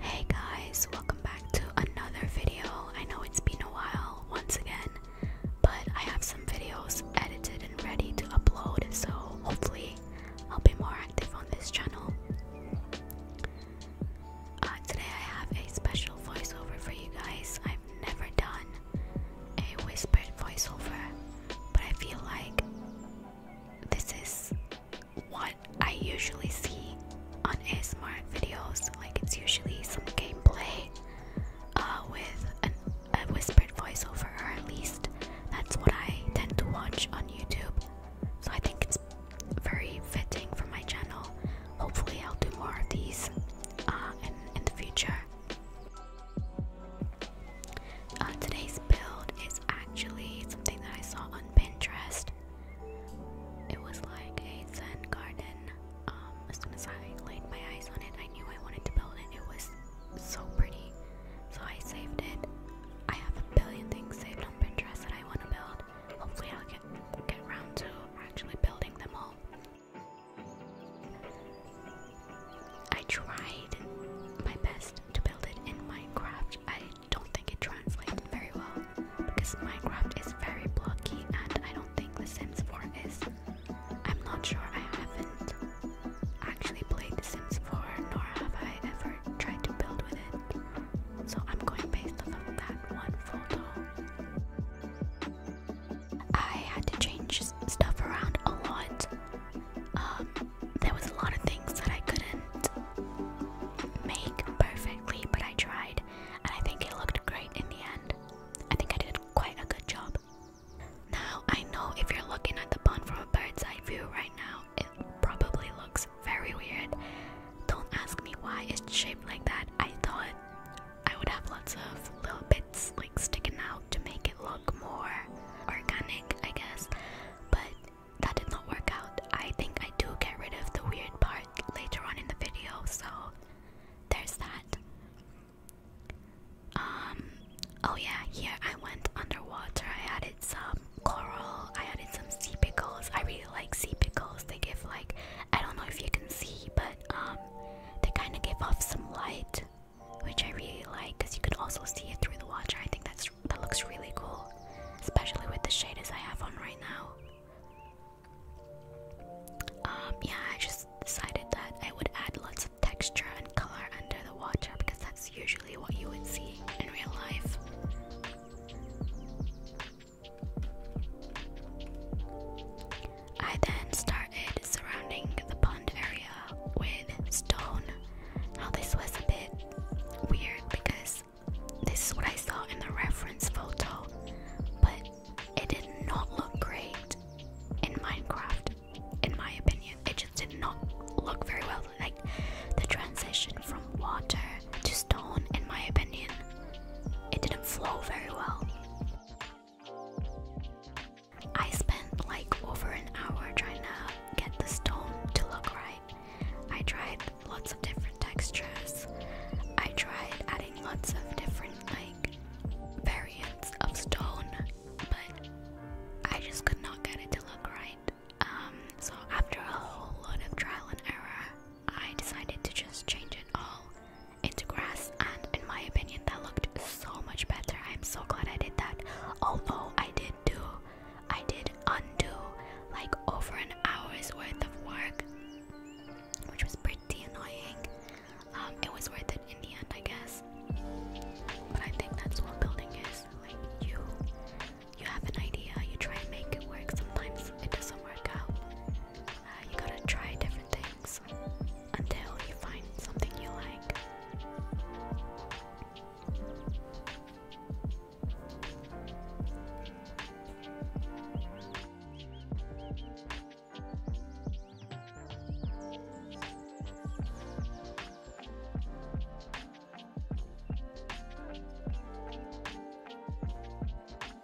Hey guys, welcome back to another video. I know it's been a while once again, but I have some videos edited and ready to upload, so hopefully I'll be more active on this channel. Uh, today I have a special voiceover for you guys i never done a whispered voiceover, but I feel like this is what I usually see on ASMR videos. Like it's usually some gameplay uh, with a whispered voiceover, or at least that's what I tend to watch on YouTube. So I think it's very fitting for my channel. Hopefully, I'll do more of these uh, in the future. Uh, today's build is actually something that I saw on Pinterest. It was like a Zen garden. Um, as soon as I laid my eyes on it, I knew I wanted to build it. It was so pretty, so I saved it. I have a billion things saved on Pinterest that I want to build. Hopefully, I'll get get around to actually building them all. I tried my best to build it in Minecraft. I don't think it translated very well because Minecraft is very blocky, and I don't think The Sims 4 is. I'm not sure. I haven't actually played The Sims 4, nor have I ever tried to build with it. So I'm going based off of that one photo. I had to change stuff around a lot. Um, there was a lot of things that I couldn't make perfectly, but I tried, and I think it looked great in the end. I think I did quite a good job. Now, I know if you're looking at the pond from a bird's eye view right now, it probably looks very weird. Don't ask me why it's shaped like that. I thought I would have lots of little bits like sticking out to make it look more organic, I guess. But that did not work out. I think I do get rid of the weird part later on in the video, so there's that. Um, oh yeah, here I went underwater. I added some coral, I added some sea pickles. I really like sea pickles. They give, like, I don't know if you can see, but um, they kind of give off some light, which I really like because you can also see it through the water. I think that's that looks really cool, especially with the shaders I have on right now. Um, yeah, I just decided that I would add lots of texture and color under the watcher because that's usually what you would see in real life. I then started surrounding the pond area with stone. Now, this was a bit weird because this is what I saw in the reference photo, but it did not look great in Minecraft, in my opinion. It just did not look very well. Like the transition from water to stone, in my opinion, it didn't flow very well. I spent like over an hour trying to get the stone to look right. I tried lots of different textures. I tried adding lots of different like variants of stone, but I just could not get it to look right. Um, so after a whole lot of trial and error, I decided to just change it all into grass and in my opinion that looked so much better i'm so glad i did that although i did do i did undo like over an hour's worth of work which was pretty annoying um, it was worth it in the end i guess but i think that's what building is like you you have an idea you try and make it work sometimes it doesn't work out uh, you gotta try different things until you find something you like.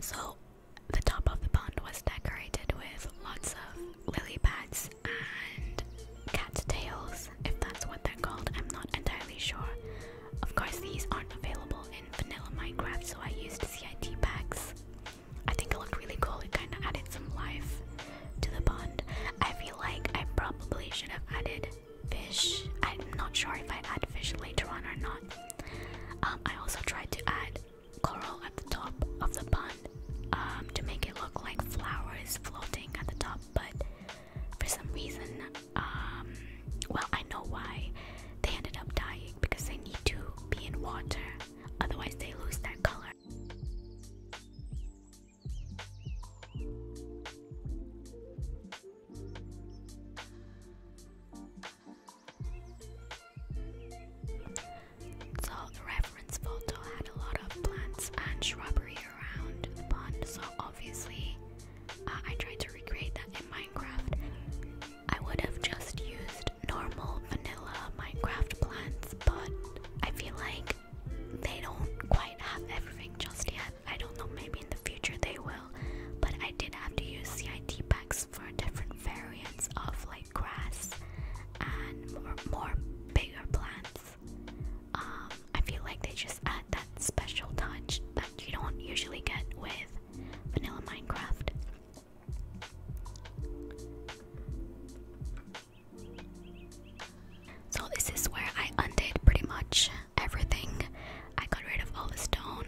So, the top of the pond was decorated with lots of lily pads and cat if that's what they're called. I'm not entirely sure. Of course, these aren't available in vanilla Minecraft, so I used CIT packs. I think it looked really cool. It kind of added some life to the pond. I feel like I probably should have added fish. I'm not sure if I add fish later on or not. Um, I also tried to add coral at the top of the pond um, to make it look like flowers floating at the top, but for some reason, um, well, I know why they ended up dying because they need to be in water, otherwise, they lose their color. The reference photo had a lot of plants and shrubbery around the pond, so obviously uh, I tried to recreate that in Minecraft. I would have just used normal vanilla Minecraft plants, but I feel like they don't quite have everything just yet. I don't know, maybe in the future they will. But I did have to use CIT packs for different variants of like grass and more, bigger plants. Um, I feel like they just add that special touch that you don't usually get with vanilla Minecraft. So, this is where I undid pretty much everything. I got rid of all the stone.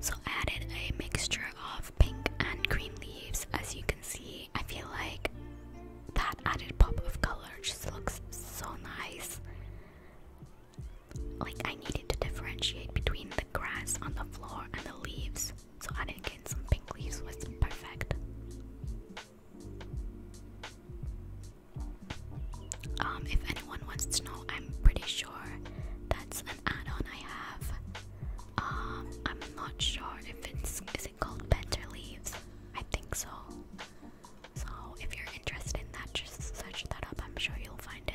So added a mixture of pink and green leaves. As you can see, I feel like that added pop of color just looks so nice. Like I need to differentiate between the grass on the floor and the leaves, so adding in some pink leaves was perfect. Um, if anyone wants to know, I'm pretty sure that's an add-on I have. Um, I'm not sure if it's is it called Better Leaves. I think so. So if you're interested in that, just search that up. I'm sure you'll find it.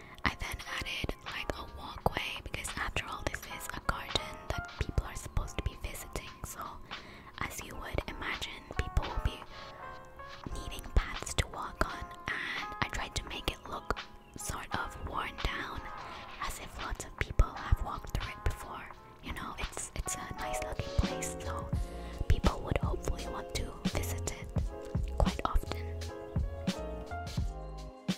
I then added like a walkway because after all this is a garden that people are supposed to be visiting. So as you would imagine, people will be needing paths to walk on and I tried to make it look sort of worn down as if lots of people have walked through it before. You know, it's it's a nice looking place, so people would hopefully want to visit it quite often.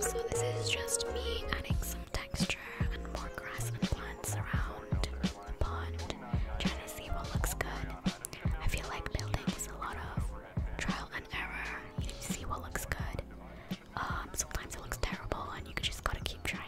So, this is just me adding some texture and more grass and plants around the pond, trying to see what looks good. I feel like building is a lot of trial and error. You need to see what looks good. Um, sometimes it looks terrible, and you just gotta keep trying.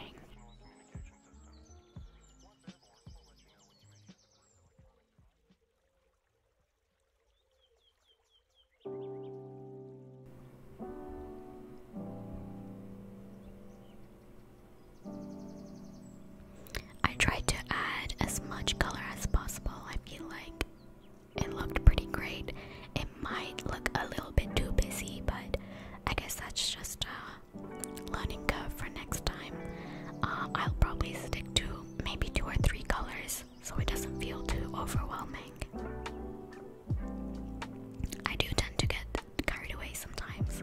I tried to add as much color as possible. I feel like it looked pretty great. It might look a little bit too busy, but I guess that's just uh, learning curve for next time. Uh, I'll probably stick to maybe two or three colors so it doesn't feel too overwhelming. I do tend to get carried away sometimes.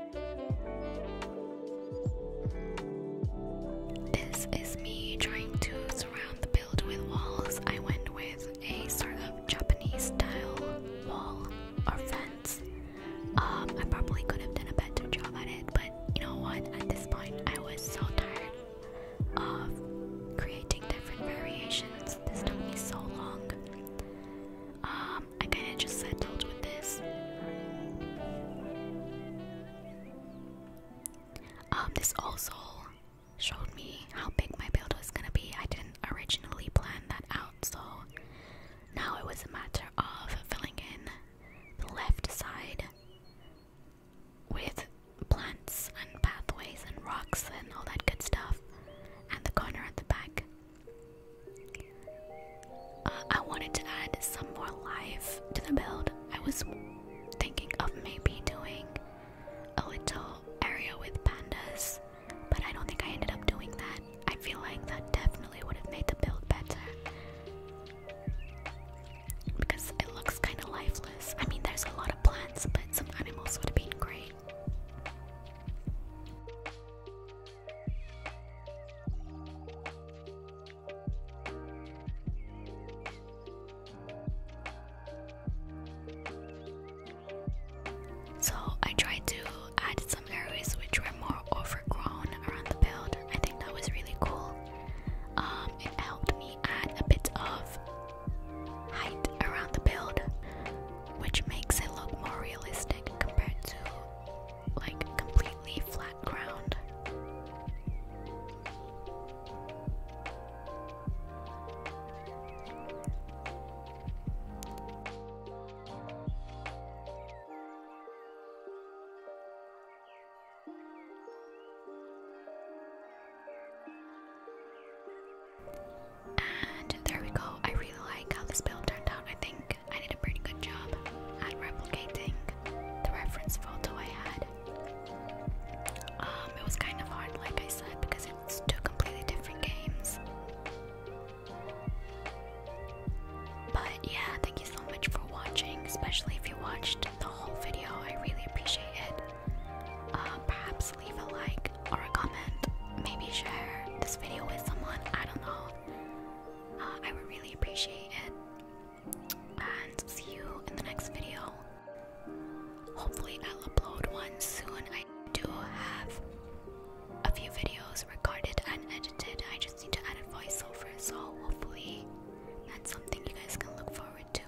This is me trying to surround the build with walls. I went with a sort of Japanese style wall or fence. Um, I probably could have done a better job at it, but you know what? At this point, I was so tired of creating different variations. This took me so long. Um, um, I kind of just settled with this. Um, this also showed me how big my build was gonna be. I didn't originally plan that out, so now it was a matter of filling in the left side with plants and pathways and rocks and all that good stuff, and the corner at the back I wanted to add some more life to the build. I was thinking of maybe doing a little area with pandas, but I don't think I ended up doing that. I feel like that definitely would have made the build better because it looks kind of lifeless. I mean, there's a lot of plants, but some animals would have been great. So I tried to add some areas which were more overgrown around the build. I think that was really cool. Um, it helped me add a bit of height around the build, which makes it look more realistic compared to like completely flat ground. And there we go. I really like how this build turned out. I think I did a pretty good job at replicating the reference photo I had. Um, it was kind of hard, like I said, because it's two completely different games. But yeah, thank you so much for watching, especially if you watched the whole video. I really appreciate it. Um, perhaps leave a like or a comment. Maybe share this video with someone. I don't know. I would really appreciate it. And see you in the next video. Hopefully, I'll upload one soon. I do have a few videos recorded and edited. I just need to add a voiceover, so hopefully, that's something you guys can look forward to.